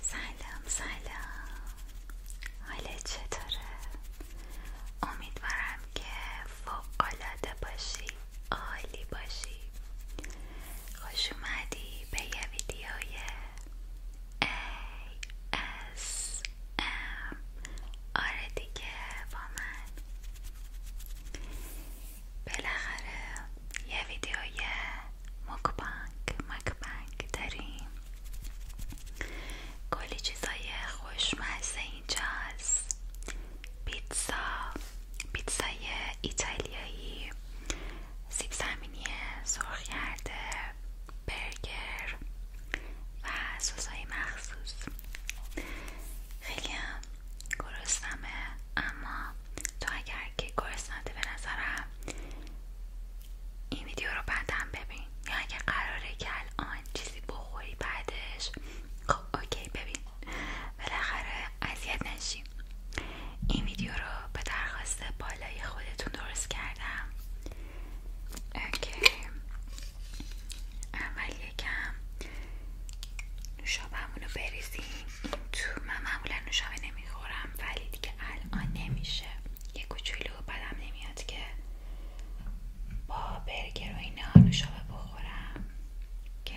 سلام سلام حالت چطوره؟ امیدوارم که فوقالعاده باشی عالی باشی خوش اومدی به یه ویدیوی ام آره دیگه با من بالاخره یه ویدیوی مکبانگ مکبانگ داریم کلی چیزای خوشمزه اینجاست پیتزا پیتزای ایتالیایی سیب زمینی سرخ کرده برگر و سسای مخصوص خیلی هم اما تو اگر که گرسناتی به نظرم این ویدیو رو بعدم ببین یا اگر قراره که الان چیزی بخوری بعدش خب اوکی ببین بالاخره اذیت نشیم این ویدیو رو به درخواست بالای خودتون درست کردم اوکی اول یکم نوشاب رو بریزید تو من معمولا نوشابه نمیخورم ولی دیگه الان نمیشه یه کوچولو بدم نمیاد که با برگر و نوشابه بخورم که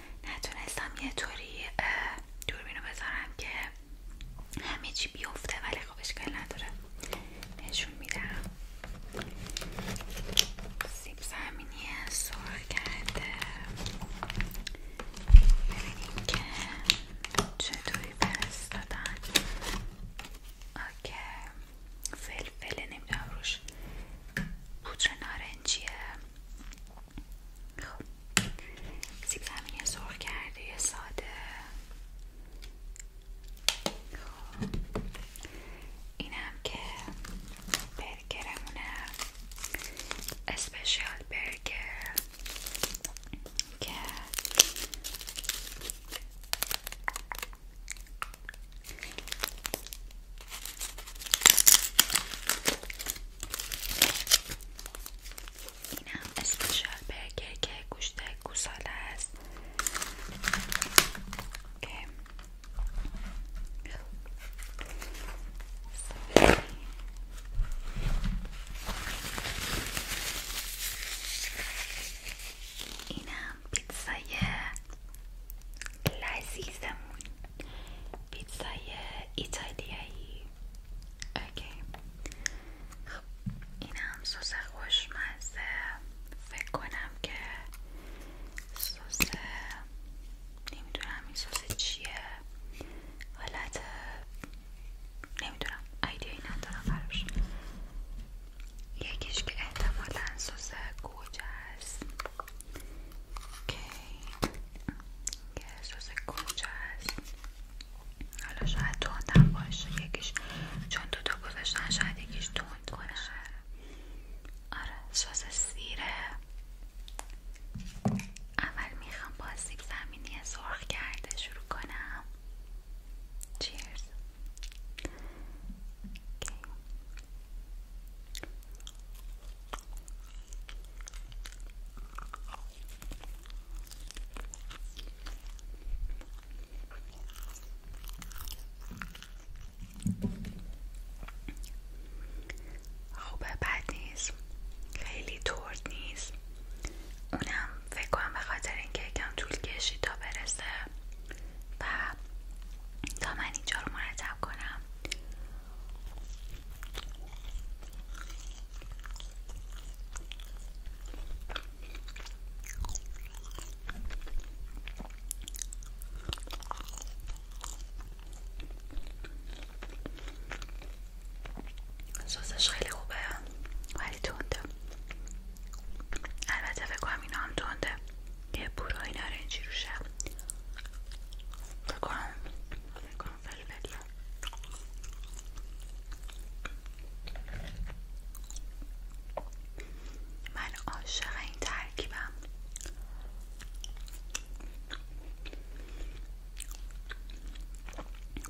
نتونستم یه طوری دوربینو بذارم که همه چی بیفته ولی خب اشکال نداره نشون میدم سیب زمینی سرخ کرده ببینیم که چطوری برستادن اوکی فلفله نمیدونم روش پودر نارنجیه خب سیب زمینی سرخ ساده اینم که برگرمونه اسپشیال برگر که اینم اسپیشال برگر که گوشت گوساله است که اینم پیتزای لذیذمون پیتزای ایتالیایی اوکی خب این هم سس خوشمزه فکر کنم که سس نمیدونم این سس چیه حالت نمیدونم ایدیایی ندارم براش یکیش که احتمالا سس گوجه است اوکی گسوس کوچه هست حالا شاید توندم باشه یکیش چون دوتا گذاشتن شاید یکیش توند کنه آره سس سیره اول میخوام با سیب زمینی سرخ کرده شروع کنم چیرز اوکی. خوبه بد نیست خیلی ترد نیست اونم فکر کنم به خاطر اینکه یکم طول کشید تا برسه و تا من اینجا رو مرتب کنم سازش خیلی خوبه ولی تونده البته فکر کنم اینا هم تونده یه بورای نارنجی روشه بکنم بکنم فلفل من عاشق این ترکیبم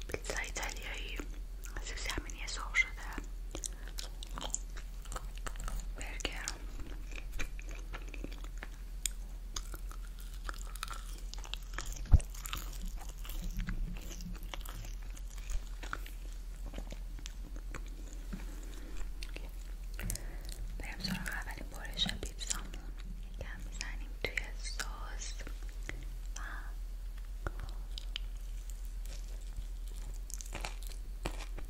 پیتزا ایتالیایی از زمینی سرخ شده برگر بریم سراغ اولین برش پیتزامون کم میزنیم توی سس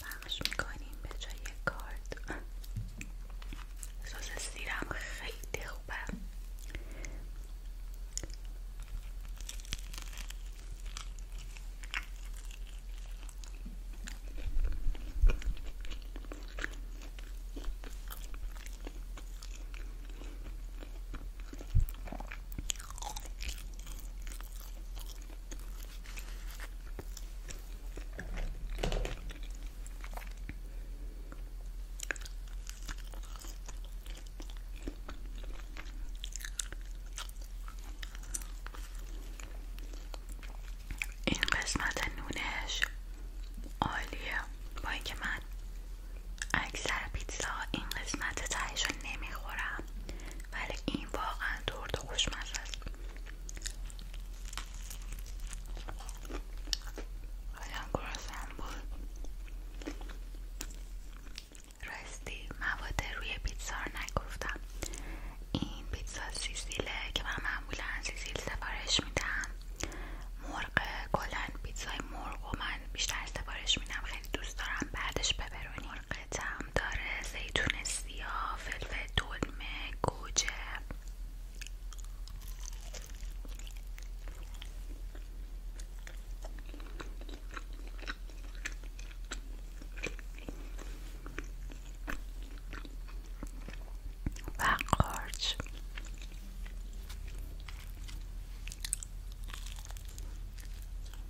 پخش میکنیم به جای کارد سس سیرم خیلی خوبه این قسمت نونش عالیه با اینکه من اکثر پیتزا این قسمت تایشو نمیخورم ولی این واقعا تورت خوشمزه است حالا گرسنم بود راستی مواد روی پیتزا رو نگفتم این پیتزا سیزیله که من معمولا سیزیل سفارش میدم مرغ کلا پیتزای مرغ و من بیشتر سفارش میدم خیلی دوست دارم بعدش ببرونی مرغ داره زیتون سیاه فلفل دلمه گوجه و قارچ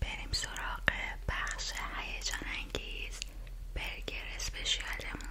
بریم سراغ بخش هیجان انگیز برگر اسپشیالمون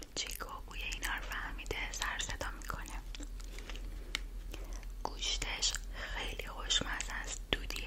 چیکو بوی فهمیده سر صدا میکنه گوشتش خیلی خوشمزه است دودیه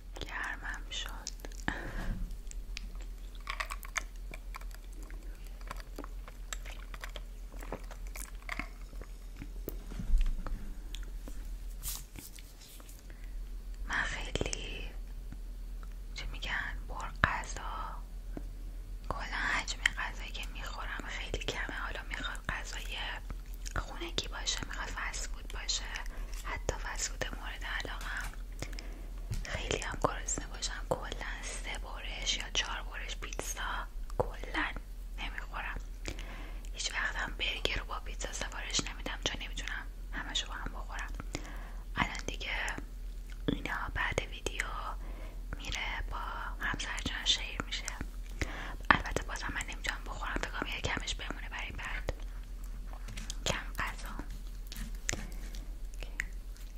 گرمم شد من خیلی چه میگن بر غذا کلا حجم غذایی که میخورم خیلی کمه حالا میخواد غذای خونگی باشه میخواد باشه حتی وسود مورد علاقم خیلی هم گرسنه باشم کلا سه برش یا چهار برش پیتزا کلا نمیخورم هیچ وقت هم برگر رو با پیتزا سفارش نمیدم چون نمیتونم همشو با هم بخورم الان دیگه اینا بعد ویدیو میره با همسر جان شیر میشه البته بازم من نمیتونم بخورم فکرم یه کمش بمونه برای بعد کم غذا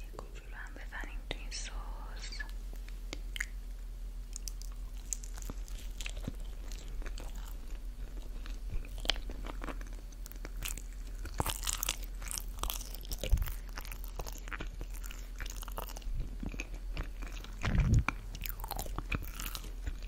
یه کوچولو هم بزنیم تو این سس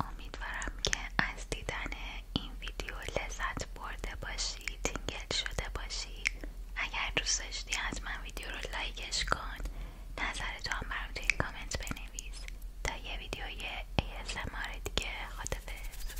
امیدوارم که از دیدن این ویدیو لذت برده باشی تینگل شده باشی اگر دوست داشتی حتما ویدیو رو لایکش کن نظرتو هم برام توی کامنت بنویس تا یه ویدیوی ASMR دیگه خدافظ